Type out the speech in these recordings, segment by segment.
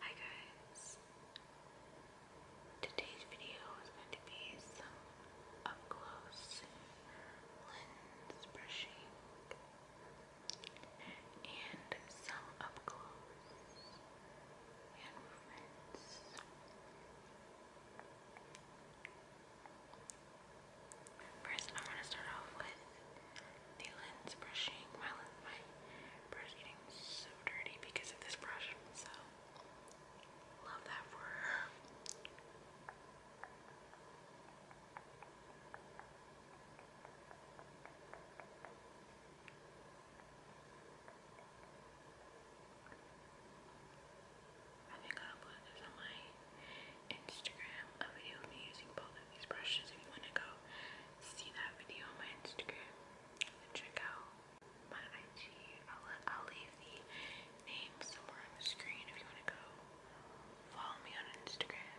Hi guys! Today's video is going to be some up close lens brushing and some up close hand movements. First, I want to start off with the lens brushing. My, my brush getting so dirty because of this brush, so love that for her. I think I'll put this on my Instagram, a video of me using both of these brushes if you want to go see that video on my Instagram check out my IG. I'll, I'll leave the name somewhere on the screen if you want to go follow me on Instagram.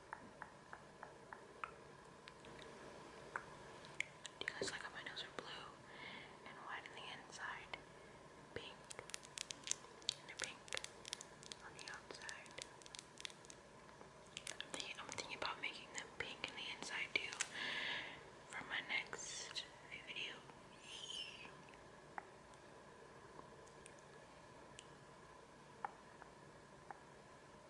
Do you guys like how my nails are blue and white on the inside? Pink. And they pink on the outside. I'm thinking, about making them pink on the inside too for my next video.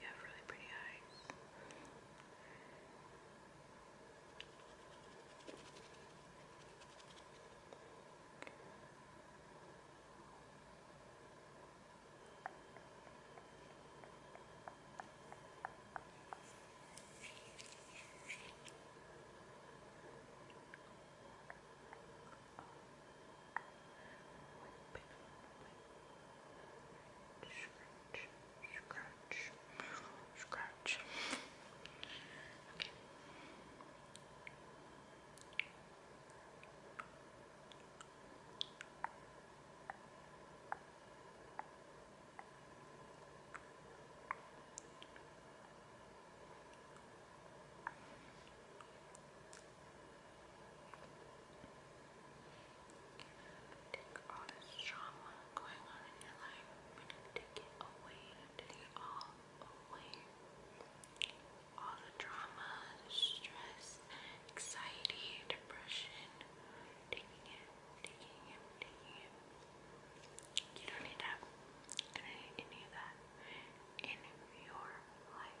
You have really pretty eyes. Oh, Scratch, scratch, scratch. Okay. Take all this trauma going on in your life. We take it away. Take it all away. All the trauma, the stress, anxiety, depression. Taking it, taking it, taking it. You don't need that. You don't need any of that in your life.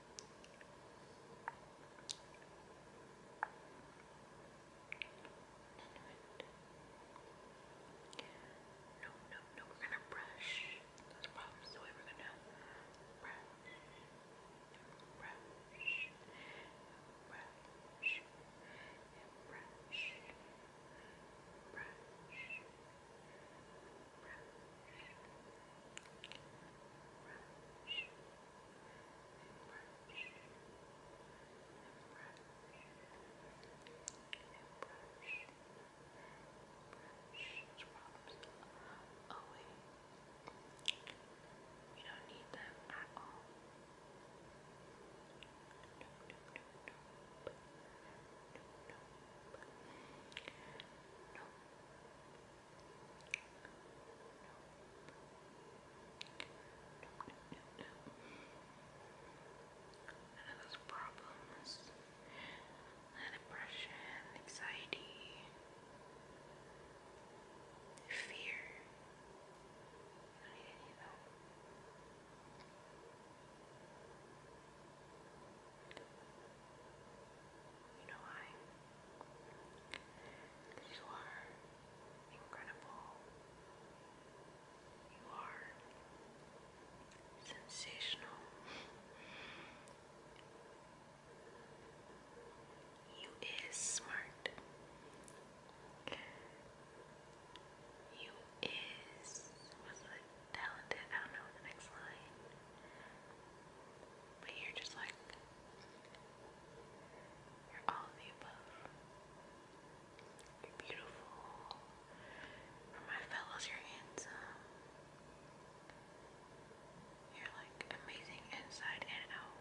No, no, no, we're gonna brush those problems away. We're gonna brush, brush, brush, and brush, brush, brush, away. We don't need them at all. Nope, nope, nope, nope, nope. Nope, no. None of those problems. And depression, anxiety, fear. You don't need any of that. All you know why? you are incredible. You are sensational. You is smart. You is what's it? talented. I don't know the next line. But you're just like, you're all of the above. You're beautiful. For my fellows, you're handsome. You're like amazing inside and out.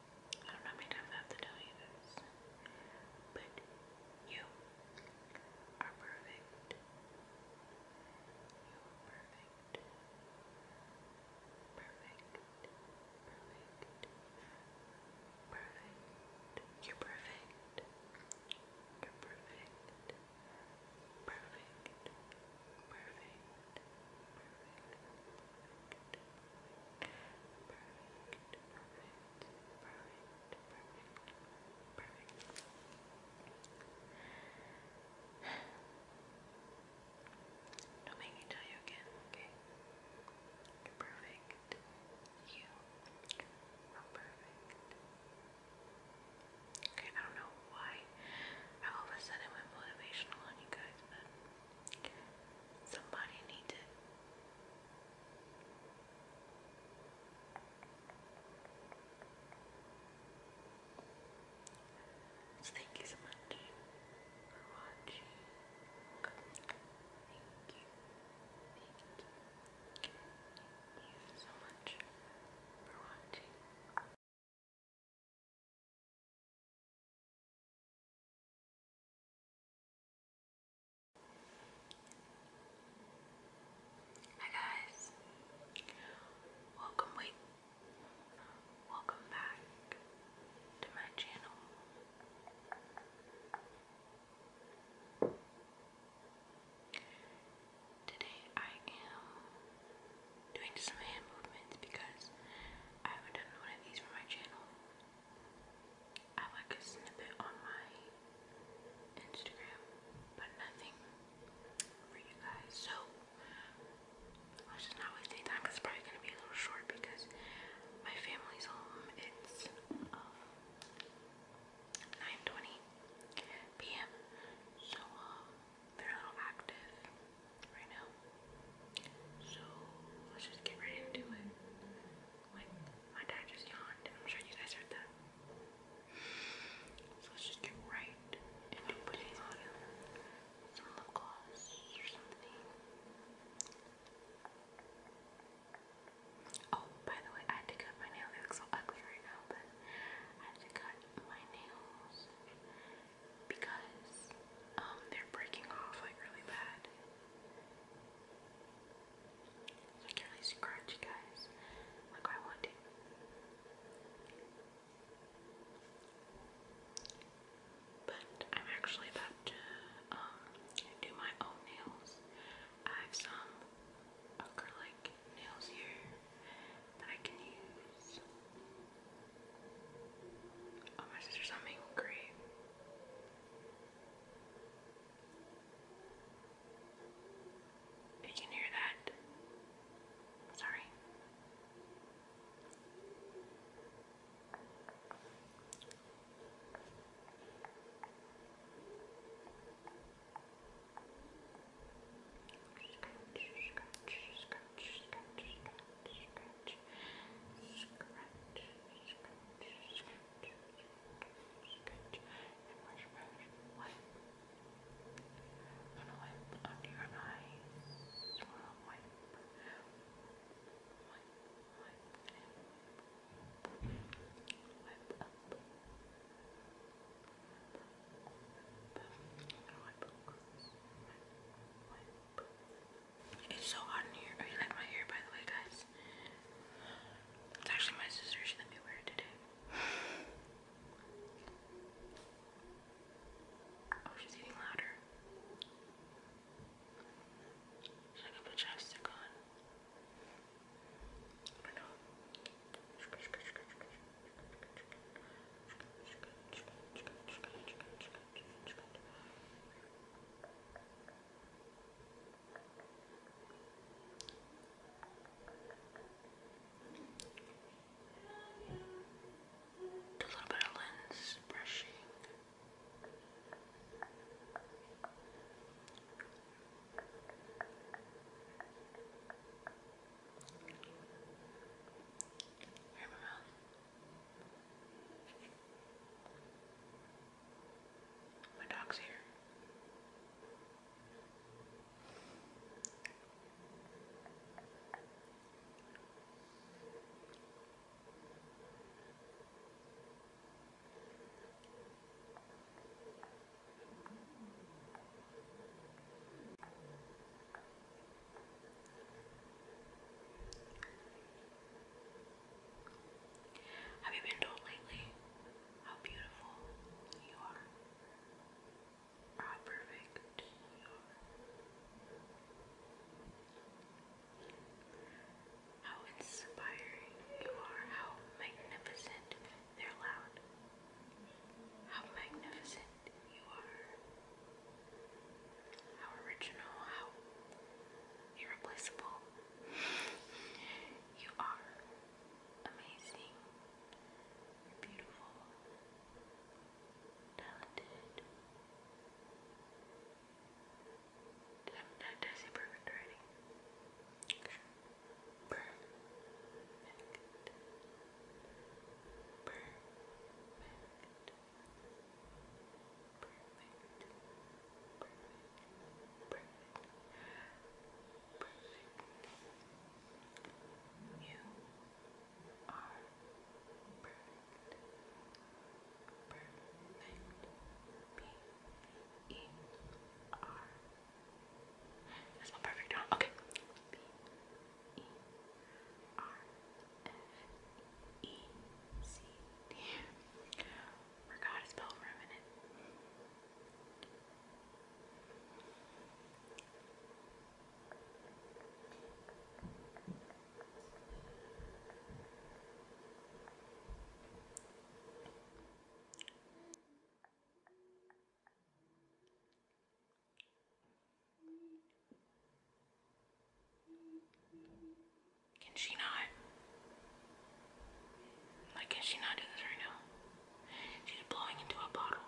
I don't know how I have to tell you this, but you are perfect. You are perfect. Perfect. Perfect. Perfect. You're perfect. You're Perfect. Perfect. Perfect. Perfect perfect, Don't make me tell you again, okay? perfect. You perfect. Okay, I don't know why all of a sudden went motivational on you guys, Somebody needs it. thank you so much for watching. Thank you. Thank you. Thank you so much for watching. Hi guys, welcome wait, welcome back to my channel. Today I am doing some hand movements because I haven't done one of these for my channel. I like a snippet on my Instagram, but nothing for you guys. So let's just not waste any time it's probably gonna be a little short because my family's home. It's 9:20 um, p.m. So um, they're a active right now. So let's just get right into it. my dad just yawned, and I'm sure you guys heard that. So let's just get right into putting on some lip gloss or something. Oh, by the way, I had to cut my nails. They look so ugly right now, but I had to cut my nails because um, they're breaking off like really bad i can really scratch, guys. Like I want to. But I'm actually about to um, do my own nails. I have some acrylic nails here that I can use. Oh, my sister's humming. Great. You can hear that. Sorry scratch, scratch, scratch, scratch, and brush, brush, wipe. I'm gonna wipe under your eyes. I'm gonna wipe, wipe, wipe, and wipe up. Wipe up. I'm gonna wipe across. Wipe, wipe. It's so hot in here. Oh, you like my hair, by the way, guys? It's actually my sister. She let me wear it today. Oh, she's getting louder. Should I go put chapstick I know good, good. a little bit of lens brushing. Here we go. My dog's here. Have you been told lately how beautiful you are? how perfect you are? How inspiring you are, how magnificent they're loud. How magnificent you are. How original, how irreplaceable. you are amazing. beautiful. Talented. Did I, did say perfect already? Perfect. Perfect perfect. You are perfect. Perfect. P E R. That's not perfect, huh? Okay. P E R. Perfect. F-E-C-T. Forgot to spell for a minute. Can she not? Like, can she not do this right now? She's blowing into a bottle.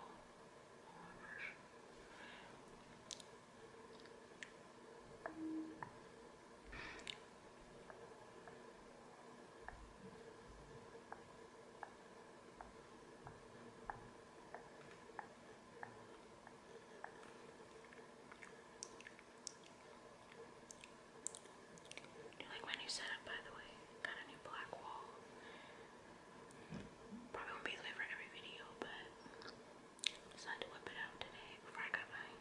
Do you like my new setup, by the way? Got a new black wall. Probably won't be there for every video, but decided to whip it out today before I got done.